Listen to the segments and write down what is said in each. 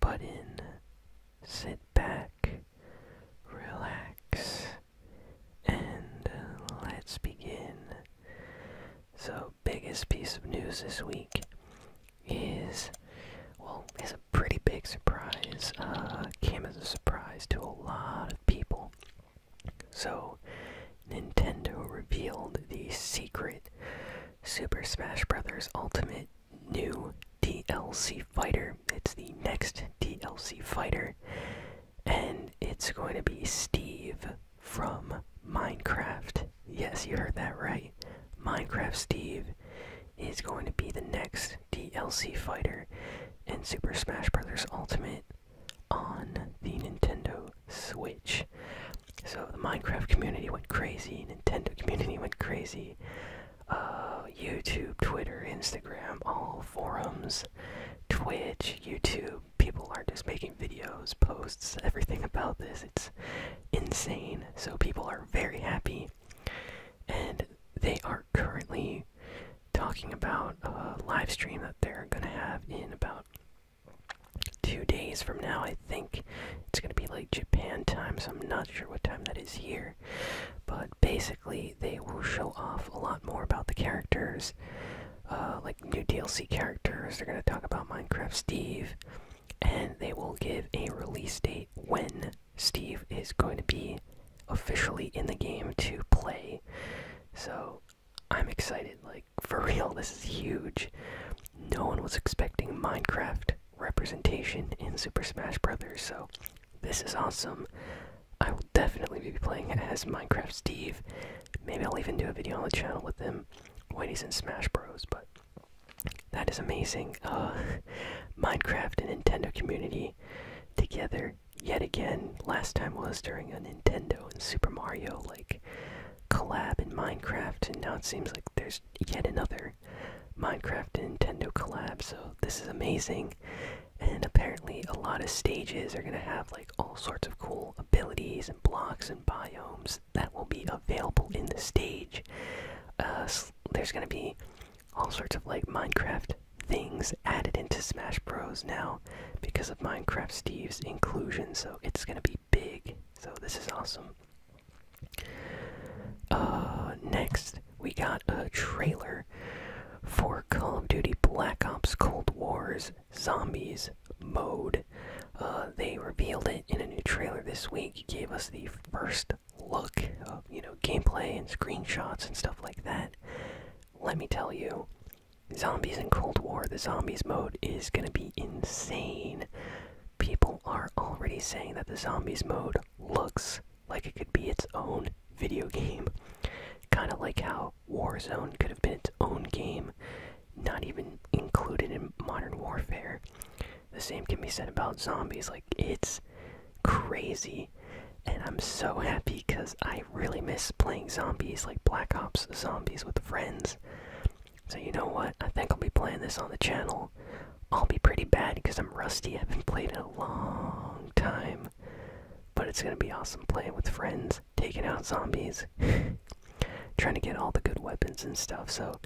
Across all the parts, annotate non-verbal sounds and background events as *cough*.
button. Sit back, relax, and let's begin. So, biggest piece of news this week is well, it's a pretty big surprise. Uh, came as a surprise to a lot of people. So, Nintendo revealed the secret Super Smash Bros. Ultimate new DLC fighter. It's the next DLC fighter, and it's going to be Steve from Minecraft. Yes, you heard that right. Minecraft Steve is going to be the next DLC fighter in Super Smash Bros. Ultimate on the Nintendo Switch. So the Minecraft community went crazy, Nintendo community went crazy, uh, YouTube, Twitter, Instagram, all forums, Twitch, YouTube. People are just making videos, posts, everything about this. It's insane. So people are very happy, and they are currently talking about a live stream that they're gonna have in about two days from now, I think it's gonna be like Japan time, so I'm not sure what time that is here. But basically, they will show off a lot more about the characters, uh, like new DLC characters. They're gonna talk about Minecraft Steve, and they will give a release date when Steve is going to be officially in the game to play. So I'm excited, like *laughs* for real, this is huge. No one was expecting Minecraft representation in Super Smash Brothers. So this is awesome. I will definitely be playing as Minecraft Steve. Maybe I'll even do a video on the channel with him when he's in Smash Bros. But that is amazing. Uh, *laughs* Minecraft and Nintendo community together yet again. Last time was during a Nintendo and Super Mario like collab in Minecraft, and now it seems like there's yet another Minecraft and Nintendo collab, so this is amazing. And apparently, a lot of stages are gonna have like all sorts of cool abilities and blocks and biomes that will be available in the stage. Uh, there's gonna be all sorts of like Minecraft things added into Smash Bros. now because of Minecraft Steve's inclusion, so it's gonna be big, so this is awesome. Uh, next, we got a trailer for Call of Duty Black Ops Cold War's Zombies mode. Uh, they revealed it in a new trailer this week, gave us the first look of, you know, gameplay and screenshots and stuff like that. Let me tell you, Zombies in Cold War, the Zombies mode is gonna be insane people are already saying that the zombies mode looks like it could be its own video game. Kind of like how Warzone could have been its own game, not even included in Modern Warfare. The same can be said about zombies. Like, it's crazy. And I'm so *laughs* happy because I really miss playing zombies, like Black Ops zombies with friends. So, you know what? I think I'll be playing this on the channel. I'll be pretty bad because I'm rusty. I have been playing it a long time. But it's gonna be awesome playing with friends, taking out zombies, *laughs* trying to get all the good weapons and stuff. So,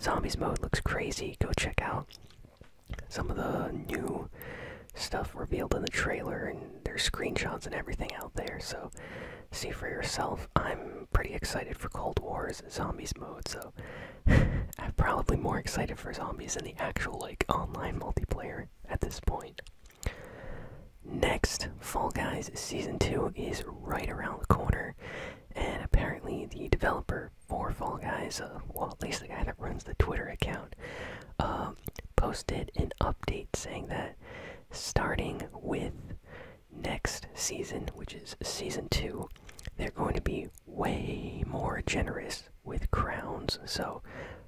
zombies mode looks crazy. Go check out some of the new stuff revealed in the trailer, and there's screenshots and everything out there. So, see for yourself. I'm pretty excited for Cold Wars zombies mode, so *laughs* I'm probably more excited for zombies than the actual like online multiplayer at this point. Next, Fall Guys Season 2 is right around the corner, and apparently the developer for Fall Guys, uh, well, at least the guy that runs the Twitter account, um, posted an update saying that starting with next season, which is season two, they're going to be way more generous with crowns. So,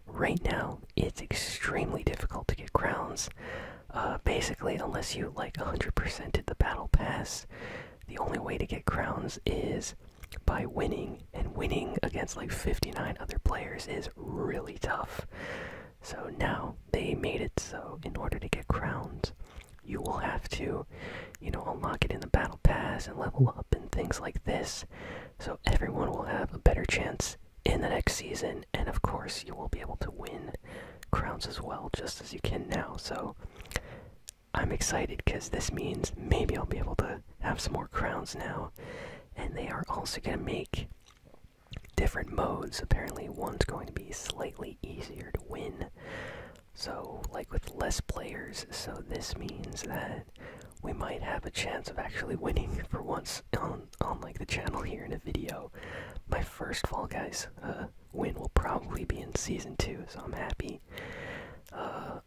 right now, it's extremely difficult to get crowns. Uh, basically, unless you like 100 percent did the battle pass, the only way to get crowns is by winning, and winning against like 59 other players is really tough. So now they made it so in order to get crowns, you will have to, you know, unlock it in the battle pass and level up and things like this. So everyone will have a better chance in the next season, and of course, you will be able to win crowns as well, just as you can now. So I'm excited because this means maybe I'll be able to have some more crowns now. And they are also going to make different modes. Apparently, one's going to be slightly easier to win. So, like with less players, so this means that we might have a chance of actually winning *laughs* for once on on like the channel here in a video. My first Fall Guys uh, win will probably be in season two, so I'm happy. Uh,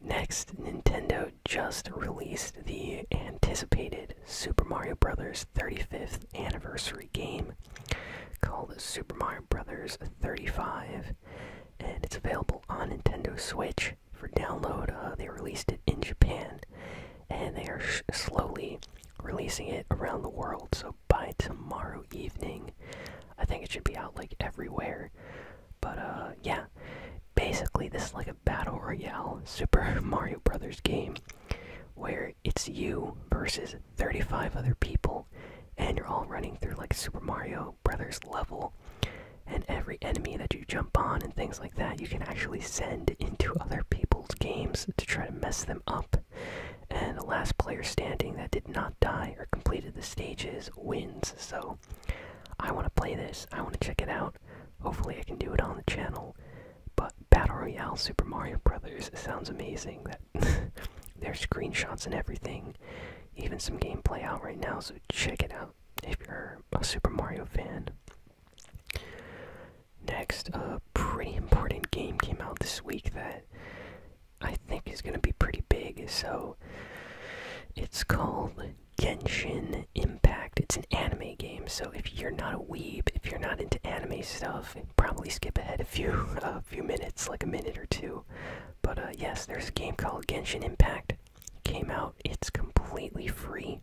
next, Nintendo just released the anticipated Super Mario Brothers 35th anniversary game called Super Mario Brothers 35, and it's available on Nintendo Switch for download. Uh, they released it in Japan, and they are slowly releasing it around the world. So by tomorrow evening, I think it should be out like everywhere. But uh, yeah, basically this is like a battle royale Super *laughs* Mario Brothers game where it's you versus 35 other people, and you're all running through like Super Mario Brothers level. And every enemy that you jump on and things like that, you can actually send into other people's games to try to mess them up. And the last player standing that did not die or completed the stages wins. So I want to play this. I want to check it out. Hopefully, I can do it on the channel. But Battle Royale Super Mario Brothers sounds amazing. *laughs* There's screenshots and everything, even some gameplay out right now, so check it out if you're a Super Mario fan. Next, a pretty important game came out this week that I think is going to be pretty big, so it's called Genshin Impact. It's an anime game, so if you're not a weeb, if you're not into anime stuff, probably skip ahead if you. uh, few minutes, like a minute or two. But uh, yes, there's a game called Genshin Impact. came out. It's completely free,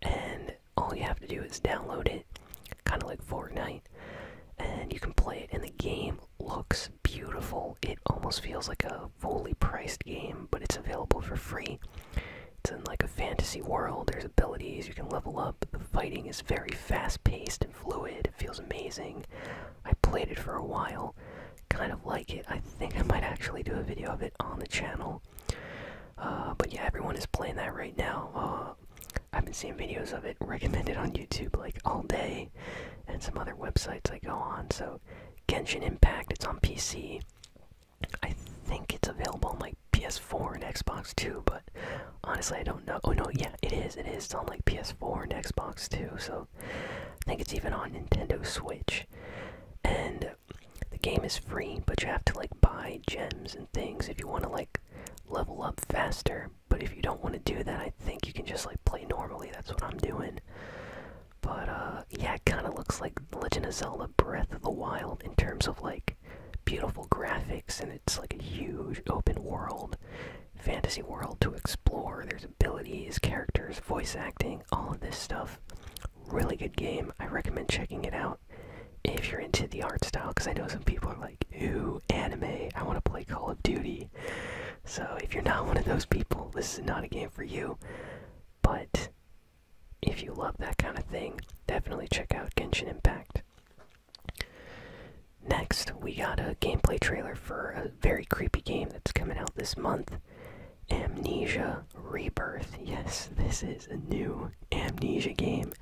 and all you have to do is download it, kind of like Fortnite, and you can play it. And the game looks beautiful. It almost feels like a fully priced game, but it's available for free. It's in like a fantasy world. There's abilities you can level up the fighting is very fast paced and fluid. It feels amazing. I played it for a while. Kind of like it. I think I might actually do a video of it on the channel. Uh, but yeah, everyone is playing that right now. Uh, I've been seeing videos of it recommended on YouTube like all day and some other websites I go on. So, Genshin Impact, it's on PC. I think it's available on like PS4 and Xbox too, But honestly, I don't know. Oh no, yeah, it is. It is. It's on like PS4 and Xbox too. So I think it's even on Nintendo Switch. And the game is free, but you have to like buy gems and things if you want to like level up faster. But if you don't want to do that, I think you can just like play normally. That's what I'm doing. But uh, yeah, it kind of looks like Legend of Zelda: Breath of the Wild in terms of like beautiful graphics, and it's like a huge open world, fantasy world to explore. There's abilities, characters, voice acting, all of this stuff. Really good game. I recommend checking it out if you're into the art style, because I know some people are like, ooh, anime, I want to play Call of Duty. So if you're not *laughs* one of those people, this is not a game for you. But if you love that kind of thing, definitely check out Genshin Impact. Next, we got a gameplay trailer for a very creepy game that's coming out this month Amnesia Rebirth. Yes, this is a new Amnesia game,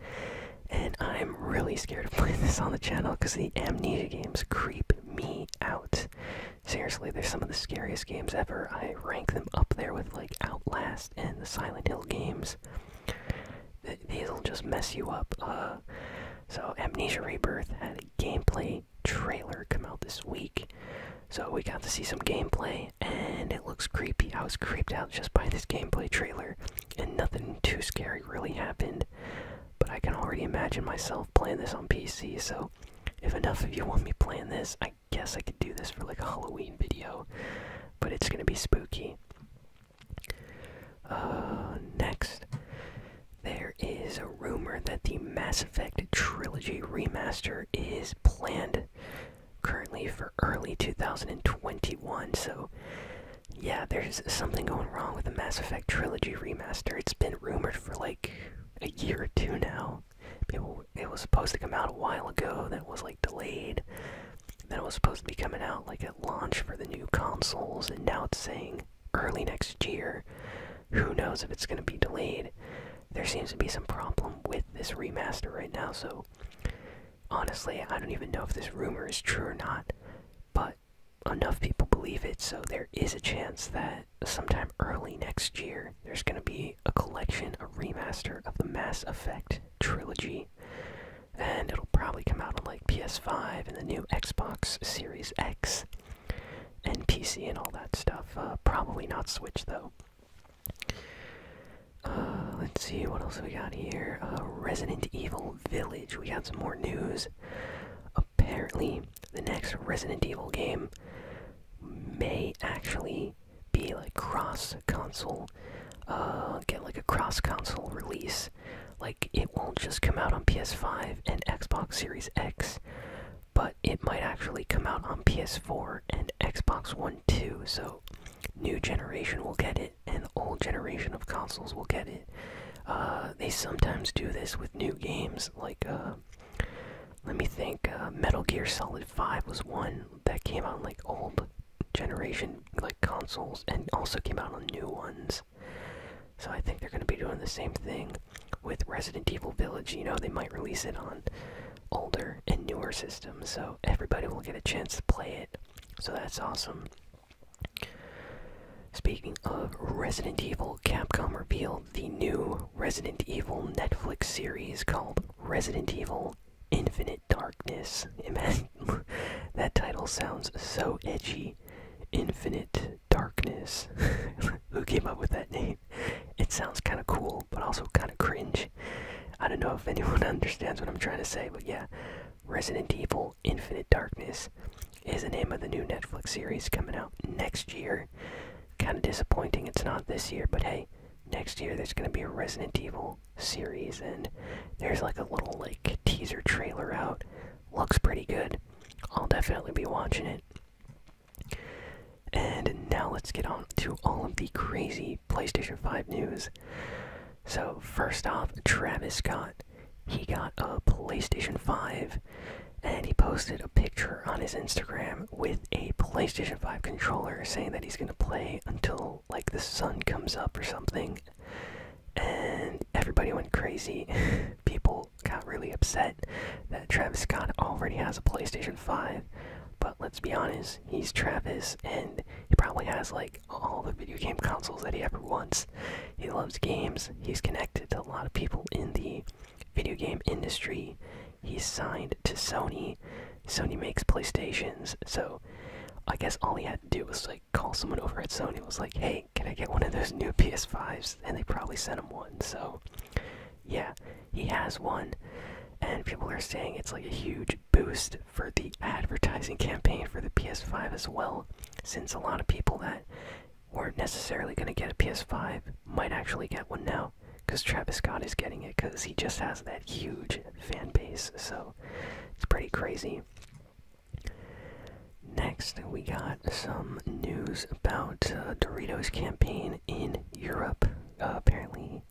and I'm really scared to *laughs* play this on the channel because the Amnesia games creep me out. Seriously, they're some of the scariest games ever. I rank them up there with like Outlast and the Silent Hill games these'll just mess you up. Uh. so Amnesia Rebirth had a gameplay trailer come out this week, so we got to see some gameplay, and it looks creepy. I was creeped out just by this gameplay trailer, and nothing too scary really happened. But I can already imagine myself playing this on PC. So if enough of you want me playing this, I guess I could do this for like a Halloween video. But it's gonna be spooky. Uh, next, there is a rumor that the Mass Effect Trilogy remaster is planned currently for early 2021. So, yeah, there's something going wrong with the Mass Effect Trilogy remaster. It's been rumored for like a year or two now. it was supposed to come out a while ago, that was like delayed that was supposed to be coming out like at launch for the new consoles, and now it's saying early next year. Who knows if it's going to be delayed? There seems to be some problem with this remaster right now, so honestly, I don't even know if this rumor is true or not, but enough people believe it, so there is a chance that sometime early next year there's going to be a collection, a remaster of the Mass Effect trilogy and it'll probably come out on like PS5 and the new Xbox Series X and PC and all that stuff. Uh, probably not Switch though. Uh, let's see what else we got here. Uh, Resident Evil Village. We got some more news. Apparently, the next Resident Evil game may actually be like cross console. get like a cross console release. Like, it won't just come out on PS5 and Xbox Series X, but it might actually come out on PS4 and Xbox One too. So, new generation will get it, and old generation of consoles will get it. Uh, they sometimes do this with new games, like, uh, let me think, uh, Metal Gear Solid 5 was one that came out on, like, old generation, like, consoles, and also came out on new ones. So I think they're going to be doing the same thing with Resident Evil Village. You know, they might release it on older and newer systems, so everybody will get a chance to play it. So that's awesome. Speaking of Resident Evil, Capcom revealed the new Resident Evil Netflix series called Resident Evil Infinite Darkness. Imagine, *laughs* that title sounds so edgy. Infinite Darkness. *laughs* Who came up with that name? It sounds kind of cool, but also kind of cringe. I don't know if anyone *laughs* understands what I'm trying to say, but yeah. Resident Evil Infinite Darkness is the name of the new Netflix series coming out next year. Kind of disappointing it's not this year, but hey, next year there's going to be a Resident Evil series, and there's like a little like teaser trailer out looks pretty good. I'll definitely be watching it. And now let's get on to all of the crazy PlayStation 5 news. So, first off, Travis Scott. He got a PlayStation 5 and he posted a picture on his Instagram with a PlayStation 5 controller saying that he's going to play until like the sun comes up or something and everybody went crazy. *laughs* People got really upset that Travis Scott already has a PlayStation 5, but let's be honest, he's Travis and he probably has like all the video game consoles that he ever wants. He loves games, he's connected to a lot of people in the video game industry. He's signed to Sony. Sony makes PlayStations, so I guess all he had to do was like call someone over at Sony was like, "Hey, can I get one of those new PS5s?" And they probably sent him one. So, yeah, he has one, and people are saying it's like a huge boost for the advertising campaign for the PS5 as well, since a lot of people that weren't necessarily going to get a PS5 might actually get one now because Travis Scott is getting it because he just has that huge fan base. So, it's pretty crazy. Next, we got some news about uh, Doritos' campaign in Europe. Uh, apparently,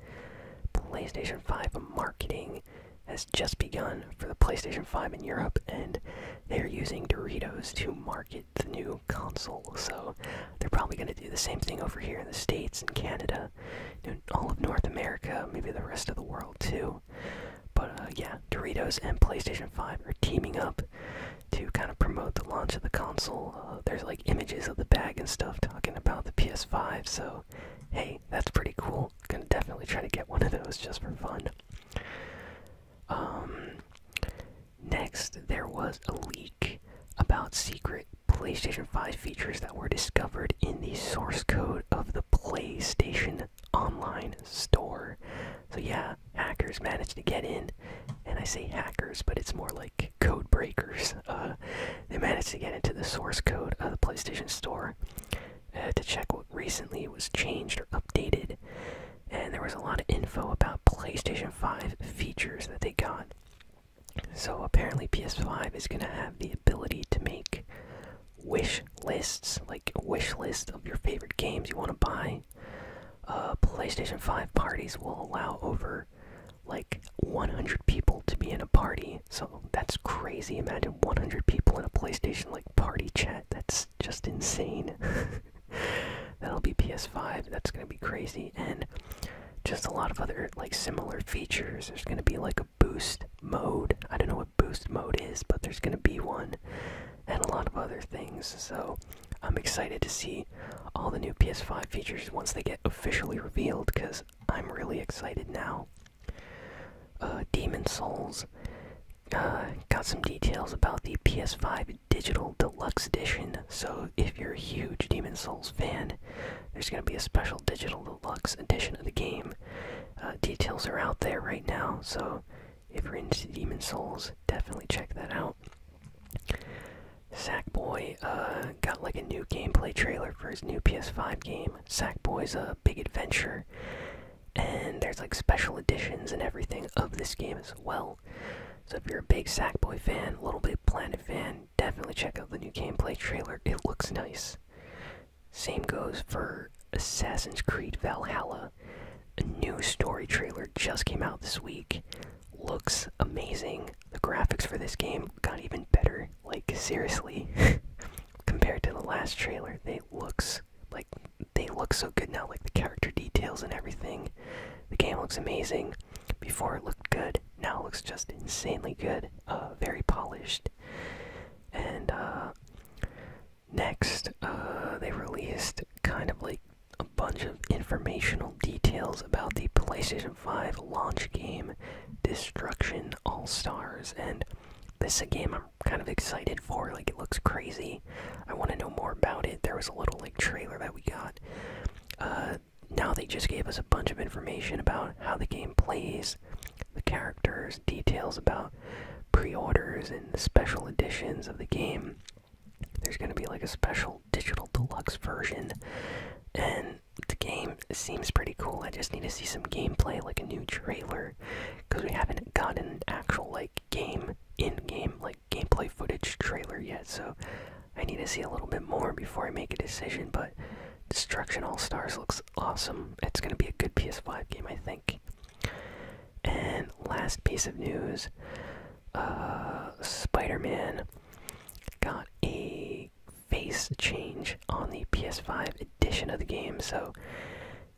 PlayStation 5 marketing has just begun for the PlayStation 5 in Europe, and they're using Doritos to market the new console. So, they're probably going to do the same thing over here in the States and Canada, all of North America, maybe the rest of the world too. But uh, yeah, Doritos and PlayStation 5 are teaming up to kind of promote the launch of the console. Uh, there's like images of the bag and stuff talking about the PS5, so hey, that's pretty cool. Gonna definitely try to get one of those just for fun. Um, next, there was a leak about secret PlayStation 5 features that were discovered in the source code of the PlayStation Online store. So, yeah, hackers managed to get in, and I say hackers, but it's more like code breakers. *laughs* Uh, they managed to get into the source code of the PlayStation Store uh, to check what recently was changed or updated, and there was a lot of info about PlayStation 5 features that they got. So, apparently, PS5 is going to have the ability to make wish lists, like wish list of your favorite games you want to buy. Uh, PlayStation 5 parties will allow over like 100 people to be in a party, so that's crazy. Imagine 100 people in a PlayStation like party chat. That's just insane. *laughs* That'll be PS5. That's gonna be crazy, and just a lot of other like similar features. There's gonna be like a boost mode. I don't know what boost mode is, but there's going to be one and a lot of other things. So I'm excited to see all the new PS5 features once they get officially revealed because I'm really excited now. Uh, Demon Souls uh, got some details about the PS5 Digital Deluxe Edition. So if you're a huge Demon Souls fan, there's going to be a special Digital Deluxe Edition of the game. Uh, details are out there right now, so if you're into Demon Souls, definitely check that out. Sackboy uh, got like a new gameplay trailer for his new PS5 game. Sackboy's a big adventure, and there's like special editions and everything of this game as well. So if you're a big Sackboy fan, Little Big Planet fan, definitely check out the new gameplay trailer. It looks nice. Same goes for Assassin's Creed Valhalla. A new story trailer just came out this week. Looks amazing. The graphics for this game got even better. Like seriously, *laughs* compared to the last trailer, they looks like they look so good now. Like the character details and everything. The game looks amazing. Before it looked good, now it looks just insanely good. Uh, very polished. And uh, Next, uh, they released kind of like a bunch of informational details about the PlayStation 5 launch game Destruction All Stars, and this game I'm kind of excited for. Like, it looks crazy. I want to know more about it. There was a little like trailer that we got. Uh, now they just gave us a bunch of information about how the game plays, the characters, details about pre-orders and special editions of the game. There's going to be like a special digital deluxe version, and the game seems pretty cool. I just need to see some gameplay, like a new trailer, because we haven't gotten actual like game in-game like gameplay footage trailer yet. So I need to see a little bit more before I make a decision. But Destruction All Stars looks awesome. It's going to be a good PS5 game, I think. And last piece of news uh, Spider Man got a face change on the PS5 edition of the game. So,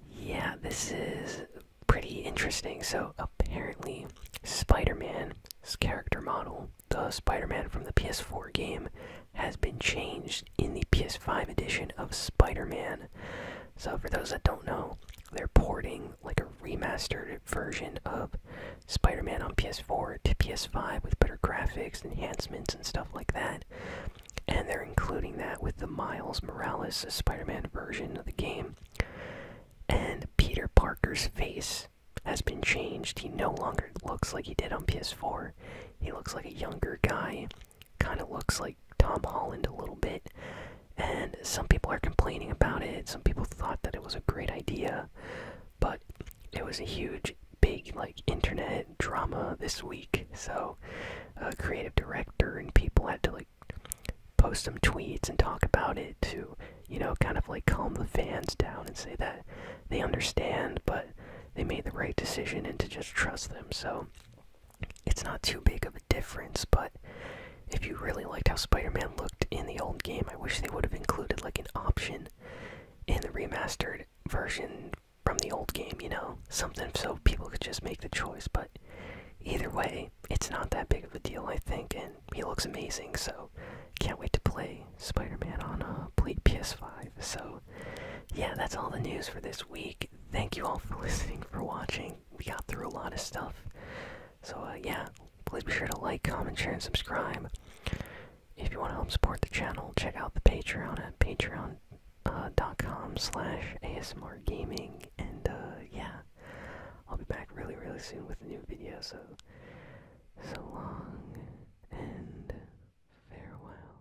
yeah, this is pretty interesting. So, apparently, Spider Man's character model, the Spider Man from the PS4 game, has been changed in the PS5 edition of Spider Man. So, for those that don't know, they're porting like a remastered version of Spider Man on PS4 to PS5 with better graphics, enhancements, and stuff like that. And they're including that with the Miles Morales Spider Man version of the game. And Peter Parker's face has been changed. He no longer looks like he did on PS4. He looks like a younger guy kind of looks like Tom Holland a little bit, and some people are complaining about it. Some people thought that it was a great idea, but it was a huge, big, like, internet drama this week. So, a creative director and people had to, like, post some tweets and talk about it to, you know, kind of like calm the fans down and say that they understand, but they made the right decision and to just trust them. So, it's not too big of a difference, but if you really liked how Spider-Man looked in the old game, I wish they would have included like an option in the remastered version from the old game, you know, something so people could just make the choice, but either way, it's not that big of a deal, I think, and he looks amazing, so can't wait to play Spider-Man on a uh, PS5. So, yeah, that's all the news for this week. Thank you all for listening, for watching. We got through a lot of stuff. So, uh, yeah, please be sure to like, comment, share, and subscribe. If you want to help support the channel, check out the Patreon at patreon.com uh, slash asmr gaming. And, uh, yeah, I'll be back really, really soon with a new video, so so long and farewell.